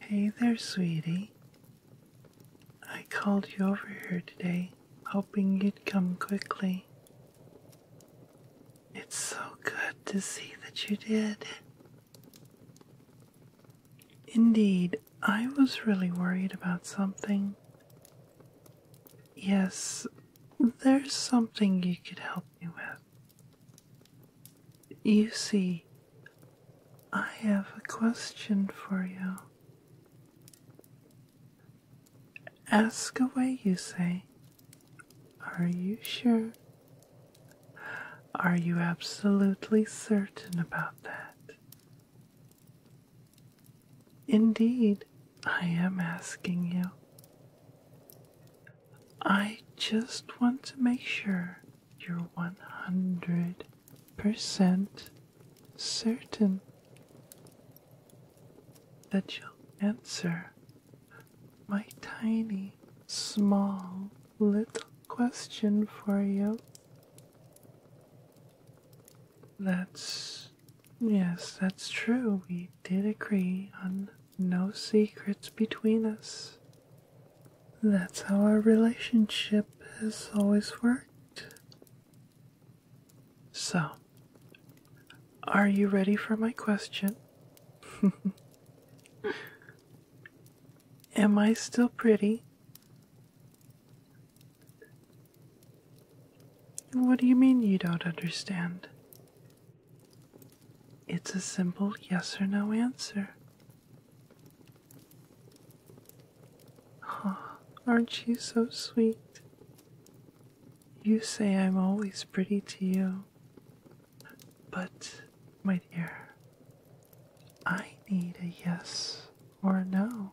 Hey there, sweetie. I called you over here today, hoping you'd come quickly. It's so good to see that you did. Indeed, I was really worried about something. Yes, there's something you could help me with. You see, I have a question for you. Ask away, you say. Are you sure? Are you absolutely certain about that? Indeed, I am asking you. I just want to make sure you're 100% certain that you'll answer my tiny, small, little question for you. That's. Yes, that's true. We did agree on no secrets between us. That's how our relationship has always worked. So, are you ready for my question? Am I still pretty? What do you mean you don't understand? It's a simple yes or no answer. Oh, aren't you so sweet? You say I'm always pretty to you. But, my dear, I need a yes or a no.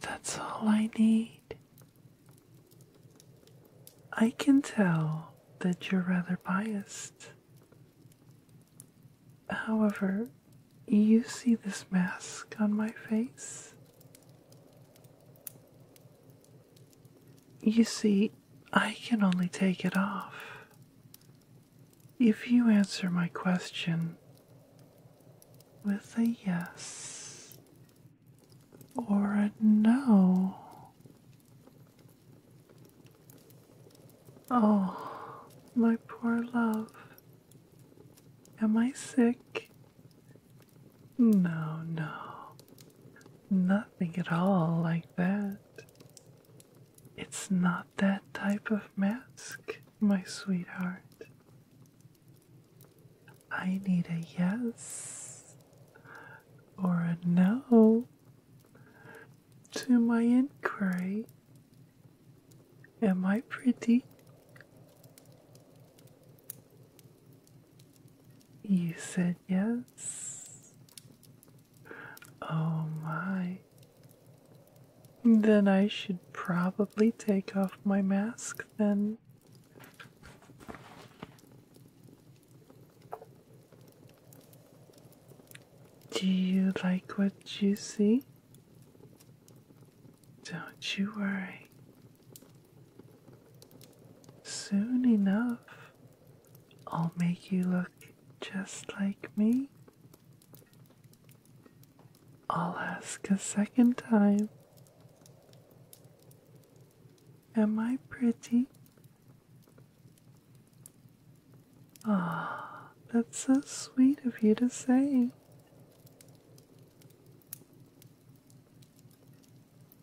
That's all I need. I can tell that you're rather biased. However, you see this mask on my face? You see, I can only take it off if you answer my question with a yes or no? Oh, my poor love. Am I sick? No, no. Nothing at all like that. It's not that type of mask, my sweetheart. I need a yes or a no to my inquiry. Am I pretty? You said yes. Oh my. Then I should probably take off my mask then. Do you like what you see? Don't you worry. Soon enough, I'll make you look just like me. I'll ask a second time. Am I pretty? Ah, that's so sweet of you to say.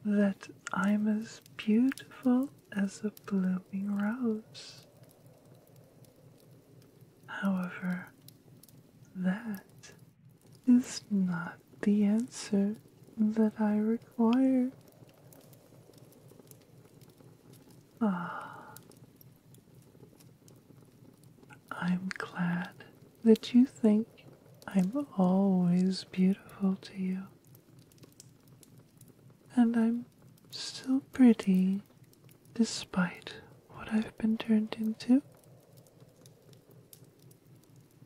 That I'm as beautiful as a blooming rose. However, that is not the answer that I require. Ah, I'm glad that you think I'm always beautiful to you. And I'm still pretty despite what I've been turned into.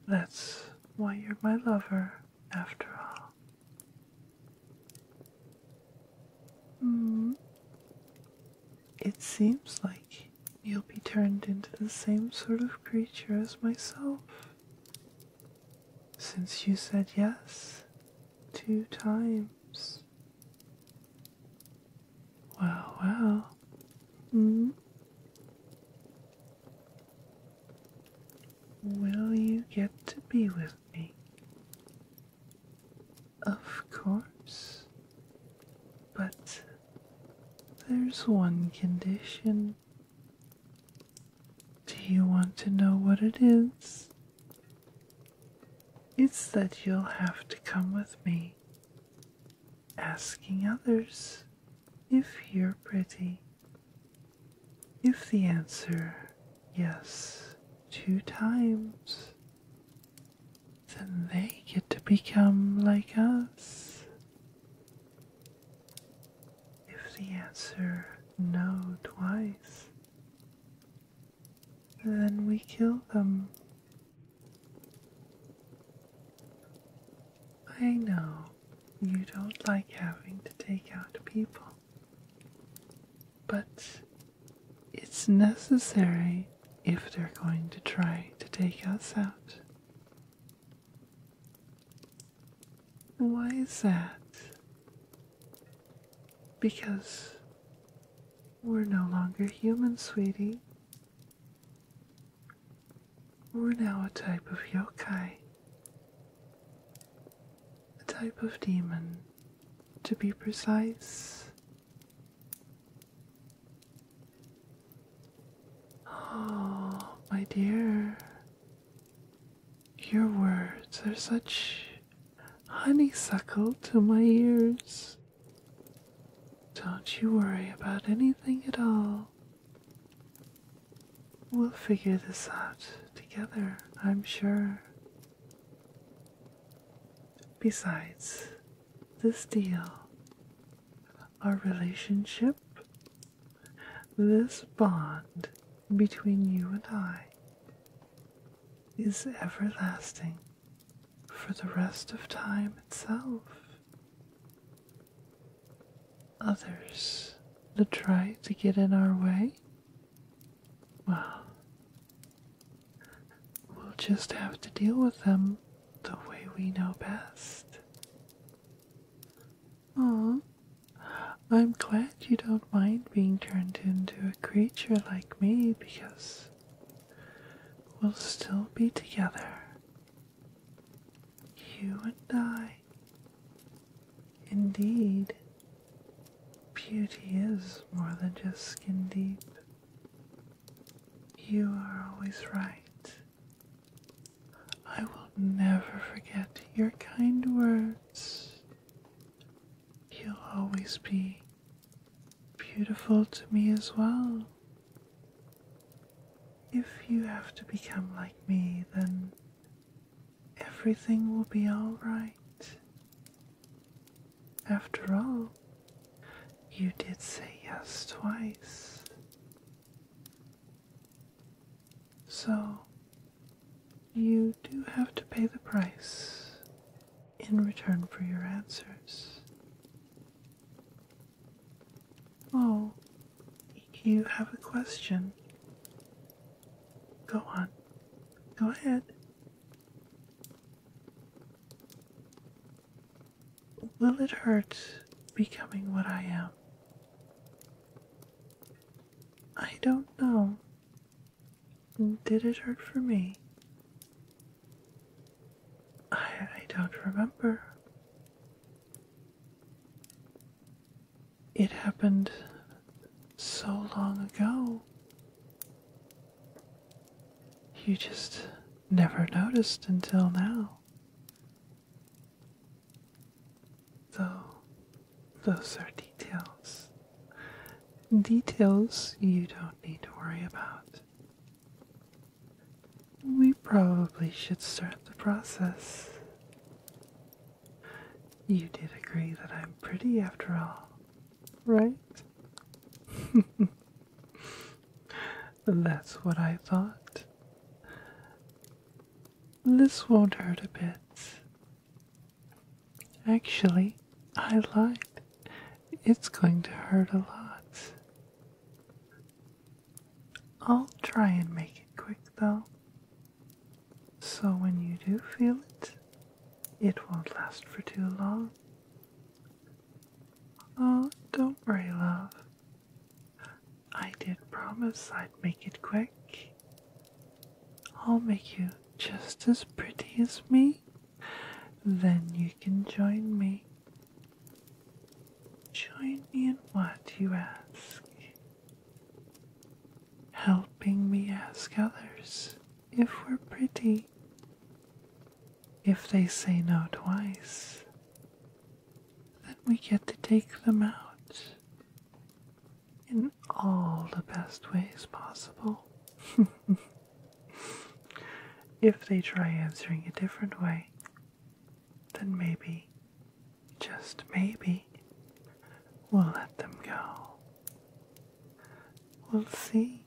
That's why you're my lover, after all. Mm. It seems like you'll be turned into the same sort of creature as myself. Since you said yes two times. Wow, mm-hmm. Will you get to be with me? Of course. But there's one condition. Do you want to know what it is? It's that you'll have to come with me asking others if you're pretty. If the answer yes two times, then they get to become like us. If the answer no twice, then we kill them I know you don't like having to take out people, but it's necessary if they're going to try to take us out. Why is that? Because we're no longer human, sweetie. We're now a type of yokai, a type of demon, to be precise. Oh, my dear, your words are such honeysuckle to my ears. Don't you worry about anything at all. We'll figure this out together, I'm sure. Besides, this deal, our relationship, this bond between you and I, is everlasting for the rest of time itself. Others that try to get in our way? Well, we'll just have to deal with them the way we know best. Oh, I'm glad you don't mind being turned into a creature like me because We'll still be together. You and I. Indeed, beauty is more than just skin deep. You are always right. I will never forget your kind words. You'll always be beautiful to me as well. If you have to become like me, then everything will be alright. After all, you did say yes twice. So, you do have to pay the price in return for your answers. Oh, you have a question. Go on. Go ahead. Will it hurt becoming what I am? I don't know. Did it hurt for me? I, don't remember. It happened so long ago. You just never noticed until now. Though, those are details. Details you don't need to worry about. We probably should start the process. You did agree that I'm pretty after all, right? That's what I thought. This won't hurt a bit. Actually, I lied. It's going to hurt a lot. I'll try and make it quick though. So when you do feel it, it won't last for too long. Oh, don't worry, love. I did promise I'd make it quick. I'll make you just as pretty as me then you can join me. Join me in what you ask, helping me ask others if we're pretty. If they say no twice, then we get to take them out in all the best ways possible. If they try answering a different way, then maybe, just maybe, we'll let them go. We'll see.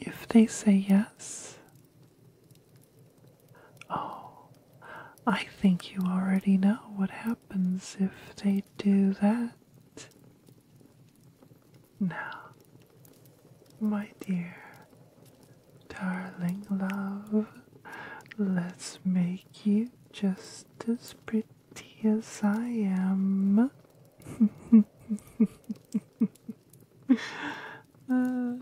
If they say yes, oh, I think you already know what happens if they do that. Now, my dear, darling love, let's make you just as pretty as I am. Uh.